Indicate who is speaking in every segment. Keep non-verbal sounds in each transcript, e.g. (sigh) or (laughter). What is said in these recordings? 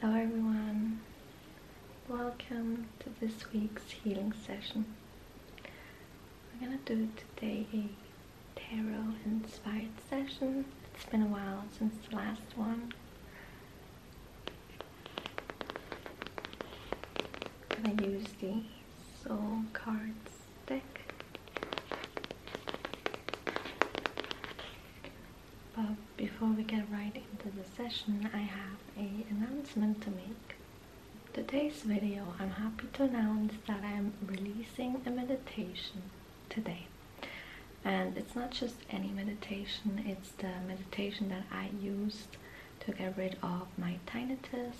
Speaker 1: Hello everyone, welcome to this week's healing session. We're gonna do today a tarot inspired session. It's been a while since the last one. I'm gonna use the soul cards deck. But before we get right into the session, I have an announcement to make. Today's video, I'm happy to announce that I'm releasing a meditation today. And it's not just any meditation, it's the meditation that I used to get rid of my tinnitus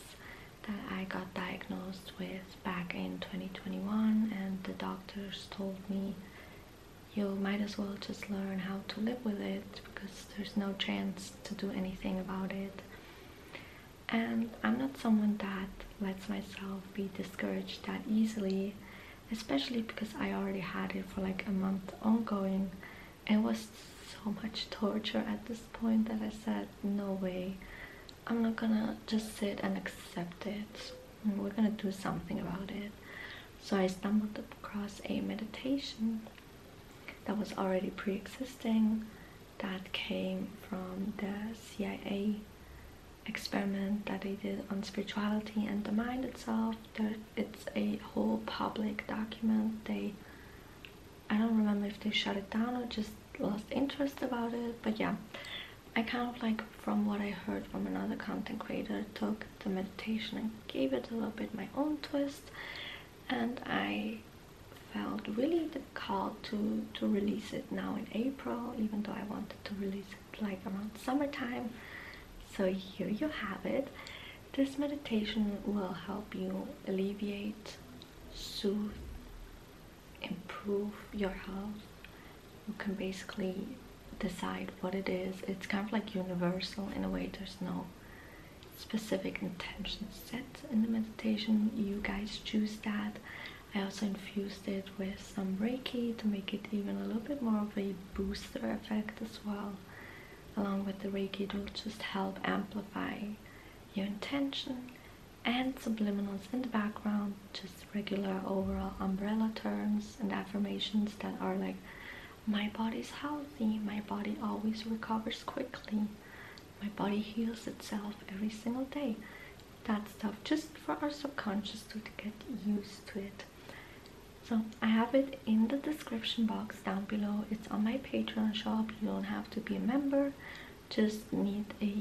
Speaker 1: that I got diagnosed with back in 2021 and the doctors told me you might as well just learn how to live with it because there's no chance to do anything about it. And I'm not someone that lets myself be discouraged that easily, especially because I already had it for like a month ongoing. It was so much torture at this point that I said, no way, I'm not gonna just sit and accept it we're gonna do something about it so i stumbled across a meditation that was already pre-existing that came from the cia experiment that they did on spirituality and the mind itself there, it's a whole public document they i don't remember if they shut it down or just lost interest about it but yeah I kind of like from what I heard from another content creator took the meditation and gave it a little bit my own twist and I felt really the call to to release it now in April even though I wanted to release it like around summertime so here you have it this meditation will help you alleviate soothe improve your health. you can basically decide what it is it's kind of like universal in a way there's no specific intention set in the meditation you guys choose that I also infused it with some Reiki to make it even a little bit more of a booster effect as well along with the Reiki it will just help amplify your intention and subliminals in the background just regular overall umbrella terms and affirmations that are like my body's healthy my body always recovers quickly my body heals itself every single day that stuff just for our subconscious to get used to it so i have it in the description box down below it's on my patreon shop you don't have to be a member just need a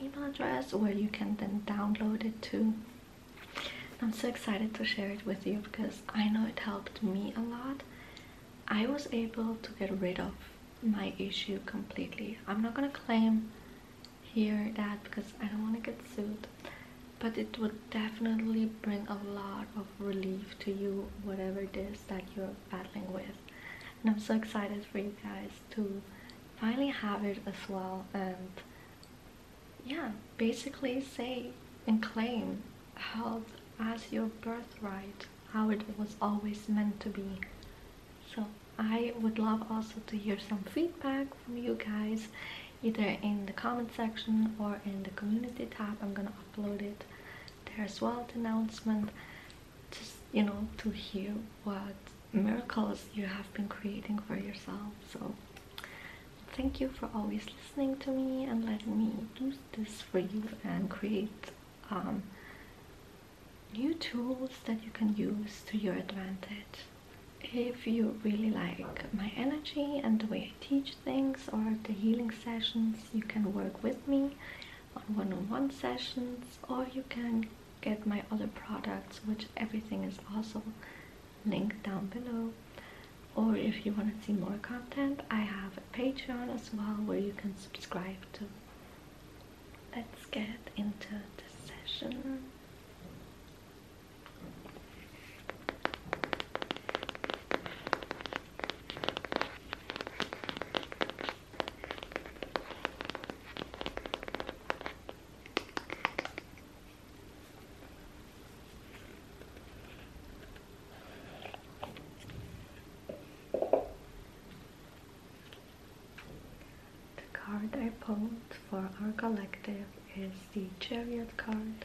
Speaker 1: email address where you can then download it to. I'm so excited to share it with you because I know it helped me a lot. I was able to get rid of my issue completely. I'm not gonna claim here that because I don't want to get sued, but it would definitely bring a lot of relief to you, whatever it is that you're battling with. And I'm so excited for you guys to finally have it as well and yeah basically say and claim health as your birthright how it was always meant to be so I would love also to hear some feedback from you guys either in the comment section or in the community tab I'm gonna upload it there as well announcement just you know to hear what miracles you have been creating for yourself. So, thank you for always listening to me and letting me do this for you and create um, new tools that you can use to your advantage. If you really like my energy and the way I teach things or the healing sessions, you can work with me on one -on -one sessions or you can get my other products which everything is also linked down below or if you want to see more content I have a Patreon as well where you can subscribe to. Let's get into the session. The card I pulled for our collective is the Chariot card.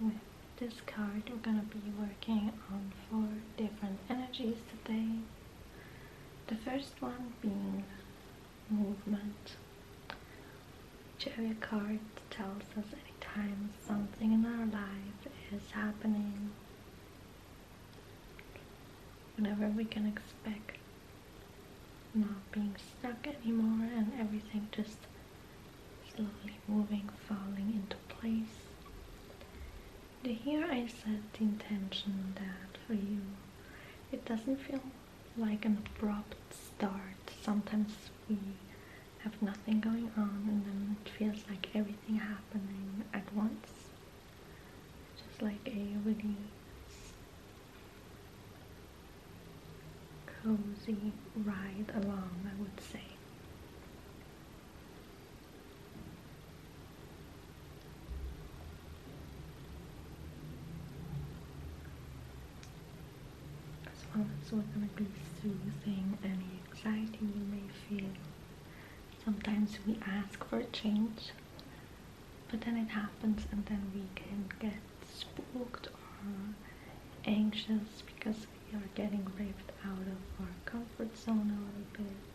Speaker 1: With this card, we're going to be working on four different energies today. The first one being movement. Cherry card tells us anytime something in our life is happening, whenever we can expect not being stuck anymore and everything just slowly moving, falling into place. Here I set the intention that for you it doesn't feel like an abrupt start. Sometimes we have nothing going on and then it feels like everything happening at once. Just like a really cozy ride along, I would say. As well as we're going to be soothing any anxiety you may feel. Sometimes we ask for change, but then it happens and then we can get spooked or anxious because we are getting ripped out of our comfort zone a little bit.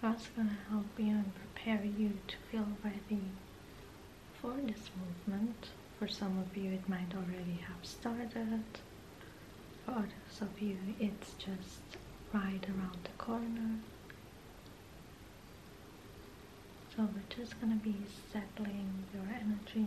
Speaker 1: That's going to help you and prepare you to feel ready for this movement. For some of you, it might already have started. For others of you, it's just right around the corner. So we're just going to be settling your energy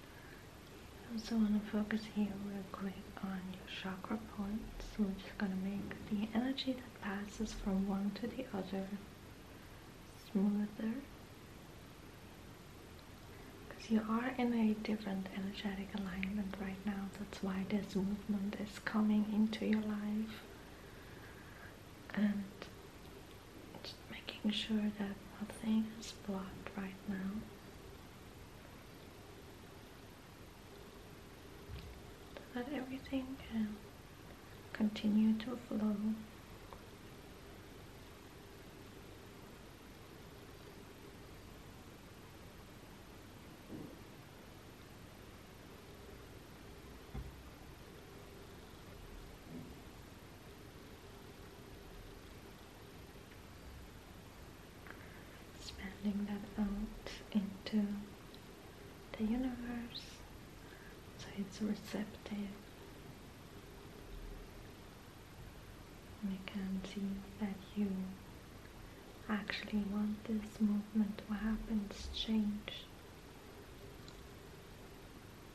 Speaker 1: I also want to focus here real quick on your chakra points. We're just going to make the energy that passes from one to the other smoother. Because you are in a different energetic alignment right now. That's why this movement is coming into your life. And just making sure that nothing is blocked right now. that everything can continue to flow expanding that out into the universe so it's receptive and can see that you actually want this movement to happen, change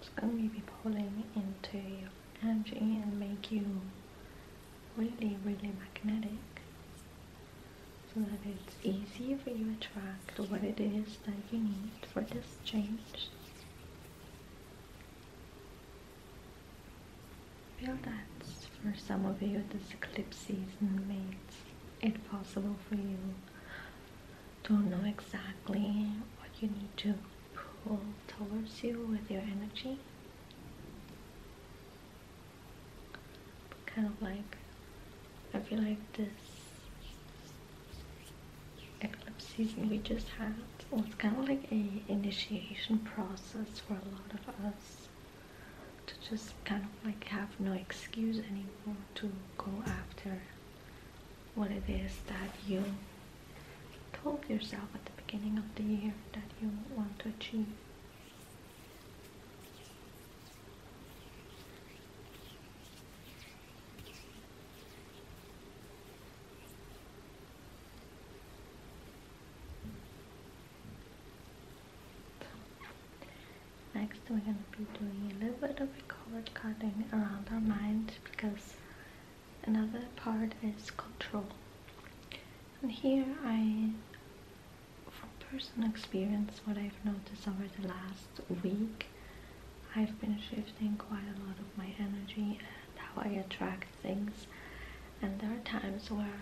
Speaker 1: It's going to be pulling into your energy and make you really, really magnetic so that it's easy for you to attract what it is that you need for this change. Perhaps for some of you this eclipse season makes it possible for you to know exactly what you need to pull towards you with your energy. Kind of like, I feel like this eclipse season we just had was kind of like a initiation process for a lot of us to just kind of like have no excuse anymore to go after what it is that you told yourself at the beginning of the year that you want to achieve next we're going to be doing a little bit of a cord cutting around our mind because another part is control. And here I, from personal experience, what I've noticed over the last week, I've been shifting quite a lot of my energy and how I attract things. And there are times where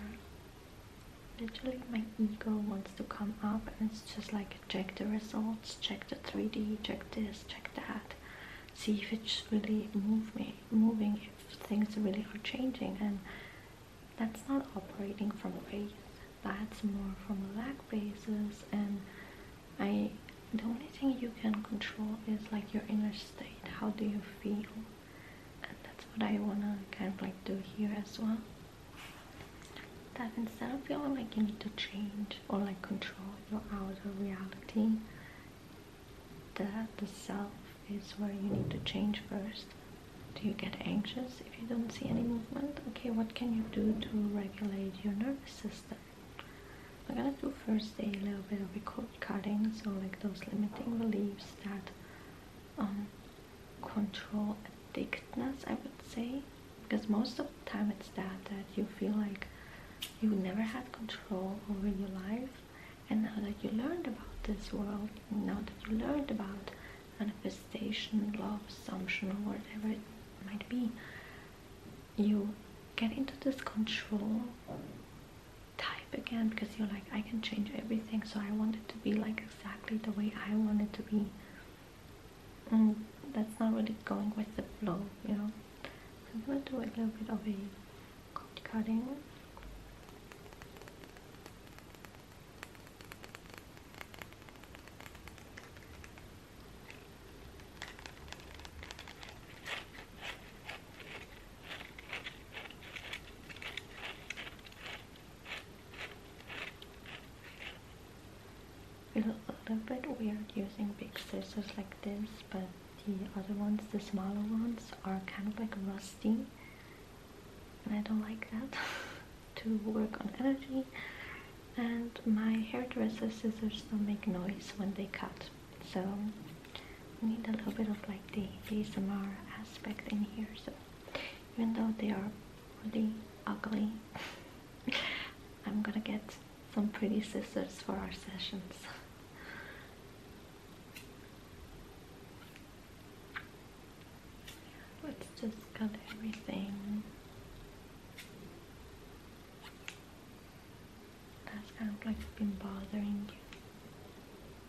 Speaker 1: Literally my ego wants to come up and it's just like check the results, check the 3D, check this, check that. See if it's really move me, moving, if things really are changing and that's not operating from faith. That's more from a lack basis and I the only thing you can control is like your inner state. How do you feel? and that's what I wanna kind of like do here as well that instead of feeling like you need to change or like control your outer reality that the self is where you need to change first do you get anxious if you don't see any movement okay what can you do to regulate your nervous system I'm gonna do first a little bit of a cold cutting so like those limiting beliefs that um, control addictedness, I would say, because most of the time it's that that you feel like you never had control over your life, and now that you learned about this world, now that you learned about manifestation, love, assumption, or whatever it might be, you get into this control type again because you're like I can change everything so I want it to be like exactly the way I want it to be and mm, that's not really going with the flow you know I'm gonna do a little bit of a cut cutting it's a little bit weird using big scissors like this, but the other ones, the smaller ones, are kind of like rusty. And I don't like that (laughs) to work on energy. And my hairdresser scissors don't make noise when they cut. So we need a little bit of like the ASMR aspect in here. So even though they are really ugly, (laughs) I'm gonna get some pretty scissors for our sessions. Let's just cut everything. That's kind of like been bothering you.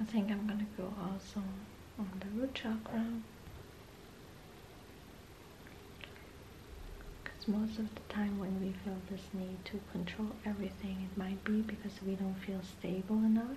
Speaker 1: I think I'm gonna go also on the root chakra because most of the time when we feel this need to control everything it might be because we don't feel stable enough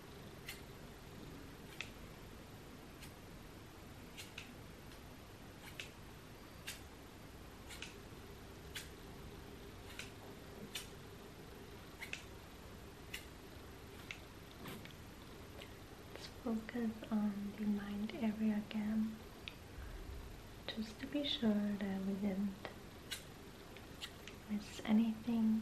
Speaker 1: focus on the mind area again just to be sure that we didn't miss anything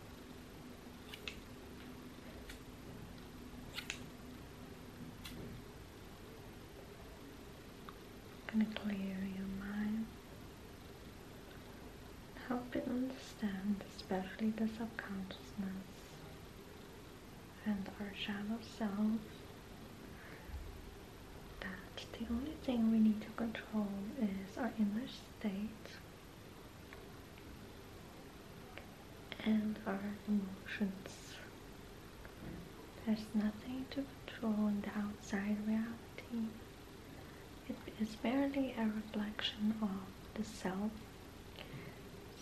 Speaker 1: going to clear your mind, help it understand, especially the subconsciousness and our shadow self, that the only thing we need to control is our inner state and our emotions. There's nothing to control in the outside reality. It is merely a reflection of the self.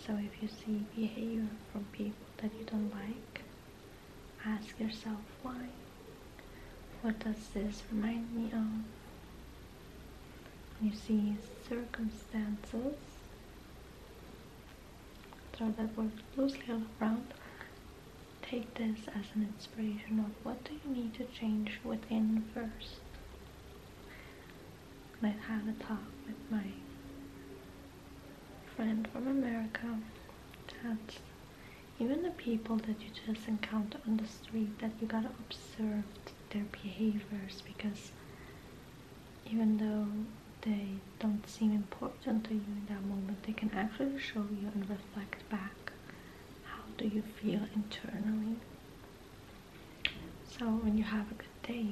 Speaker 1: So if you see behavior from people that you don't like, ask yourself why. What does this remind me of? You see circumstances. Throw that word loosely all around. Take this as an inspiration of what do you need to change within first. I had a talk with my friend from America that even the people that you just encounter on the street that you gotta observe their behaviors because even though they don't seem important to you in that moment, they can actually show you and reflect back how do you feel internally. So when you have a good day,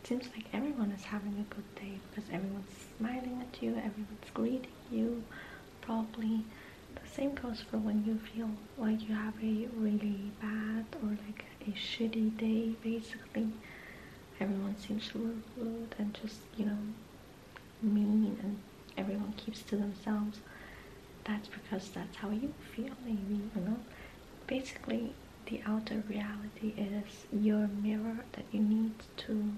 Speaker 1: it seems like everyone is having a good day because everyone's smiling at you, everyone's greeting you, probably the same goes for when you feel like you have a really bad or like a shitty day basically. Everyone seems rude and just, you know, mean and everyone keeps to themselves. That's because that's how you feel maybe, you know? Basically, the outer reality is your mirror that you need to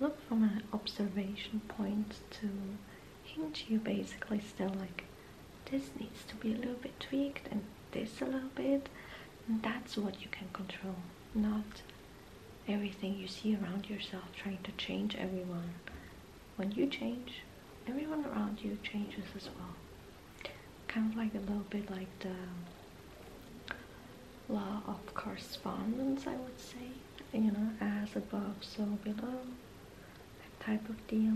Speaker 1: look from an observation point to Ain't you basically still like, this needs to be a little bit tweaked and this a little bit? That's what you can control, not everything you see around yourself trying to change everyone. When you change, everyone around you changes as well. Kind of like a little bit like the law of correspondence, I would say. You know, as above, so below that type of deal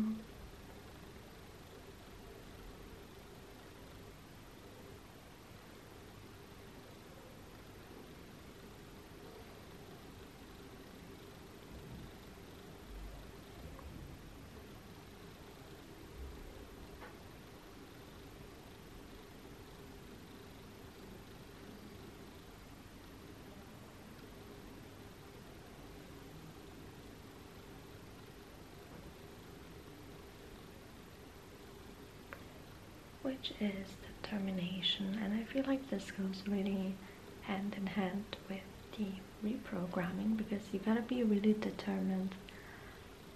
Speaker 1: which is determination. And I feel like this goes really hand in hand with the reprogramming because you gotta be really determined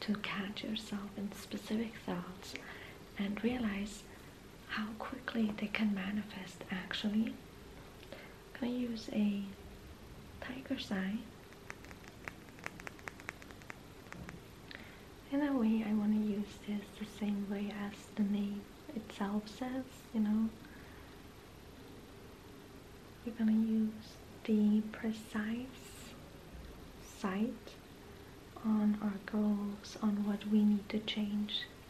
Speaker 1: to catch yourself in specific thoughts and realize how quickly they can manifest actually. I'm going to use a tiger sign? In a way, I want to use this the same way as the name itself says, you know. You're going to use the precise sight on our goals, on what we need to change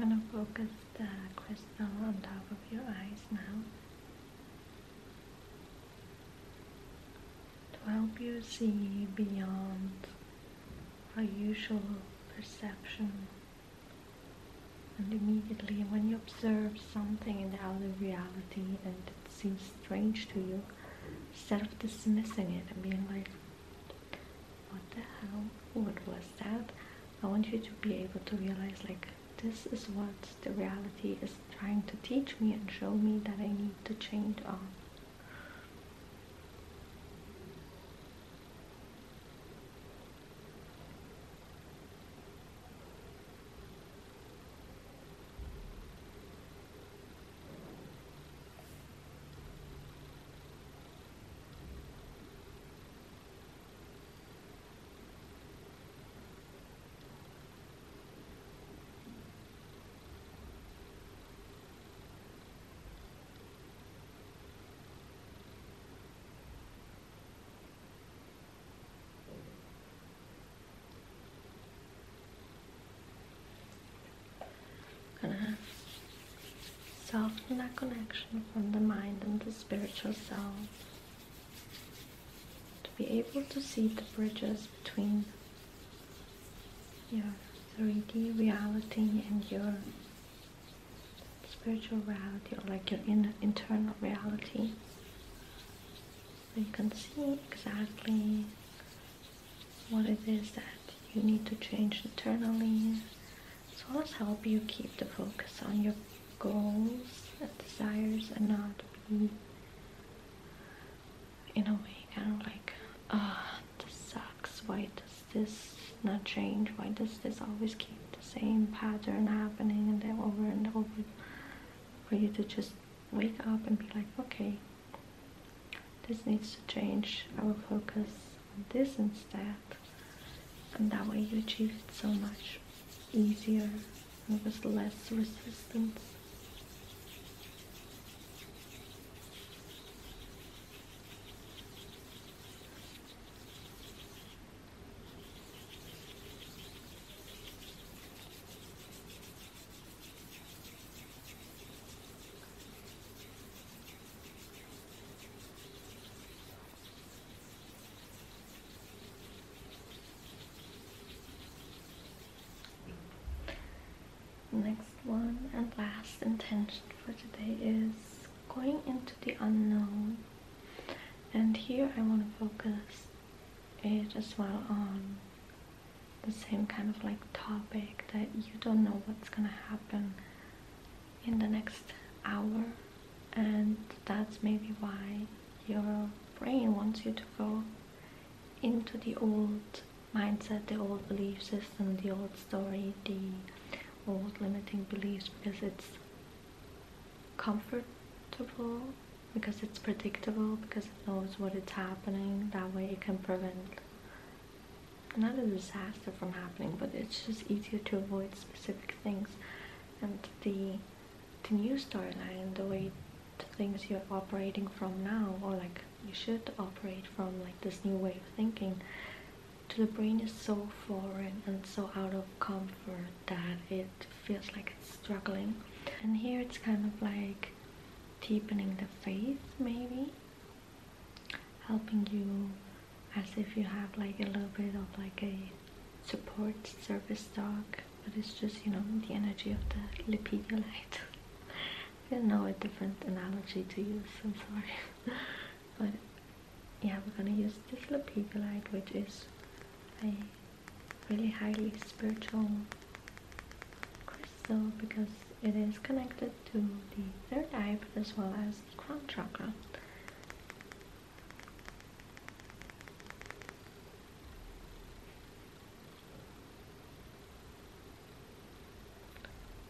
Speaker 1: I'm going to focus the crystal on top of your eyes now to help you see beyond our usual perception. And immediately, when you observe something in the outer reality and it seems strange to you, instead of dismissing it and being like, what the hell, what was that? I want you to be able to realize, like, this is what the reality is trying to teach me and show me that I need to change on gonna soften that connection from the mind and the spiritual self to be able to see the bridges between your 3D reality and your spiritual reality or like your inner internal reality. So you can see exactly what it is that you need to change internally as well as help you keep the focus on your goals and desires and not be in a way kind of like ah this sucks why does this not change why does this always keep the same pattern happening and then over and over for you to just wake up and be like okay this needs to change i will focus on this instead and that way you achieve it so much easier there was less resistance. Next one and last intention for today is going into the unknown. And here I want to focus it as well on the same kind of like topic that you don't know what's gonna happen in the next hour and that's maybe why your brain wants you to go into the old mindset, the old belief system, the old story, the old limiting beliefs because it's comfortable, because it's predictable, because it knows what is happening. That way it can prevent another disaster from happening, but it's just easier to avoid specific things. And the the new storyline, the way the things you're operating from now, or like you should operate from, like this new way of thinking, to the brain is so foreign and so out of comfort that it feels like it's struggling. And here it's kind of like deepening the faith, maybe, helping you as if you have like a little bit of like a support service dog but it's just you know the energy of the lipidiolite (laughs) I don't know a different analogy to use I'm sorry (laughs) but yeah we're gonna use this lipidiolite which is a really highly spiritual crystal because it is connected to the third eye as well as the crown chakra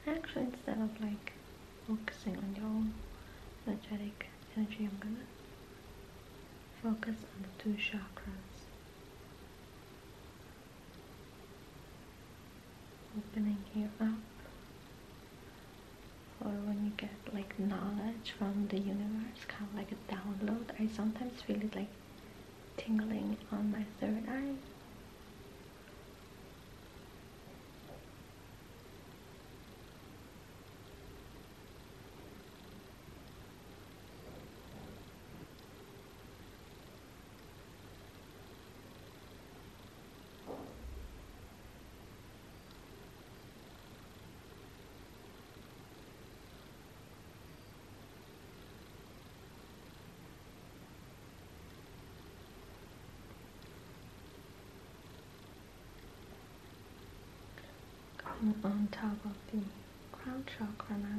Speaker 1: Actually, instead of like focusing on your own energetic energy, I'm gonna focus on the two chakras. Opening here up or when you get like knowledge from the universe, kind of like a download. I sometimes feel it like tingling on my third eye. Coming on top of the crown chakra now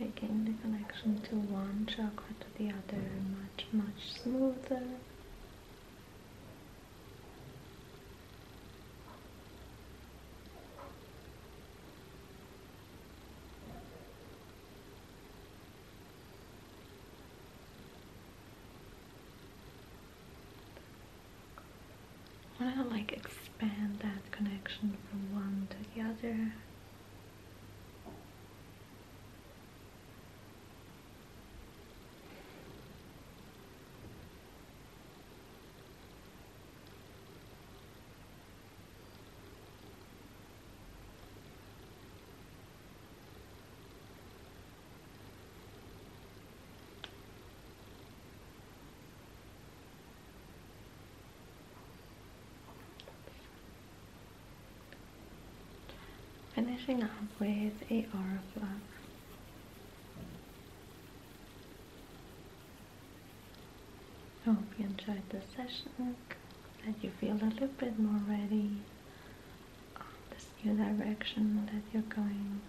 Speaker 1: making the connection to one chakra to the other much much smoother want to like expand that connection from one to the other. Finishing up with a aura flower. I hope you enjoyed the session, that you feel a little bit more ready this new direction that you're going.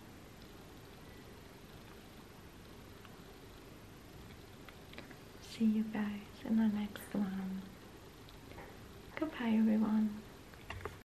Speaker 1: See you guys in the next one. Goodbye everyone.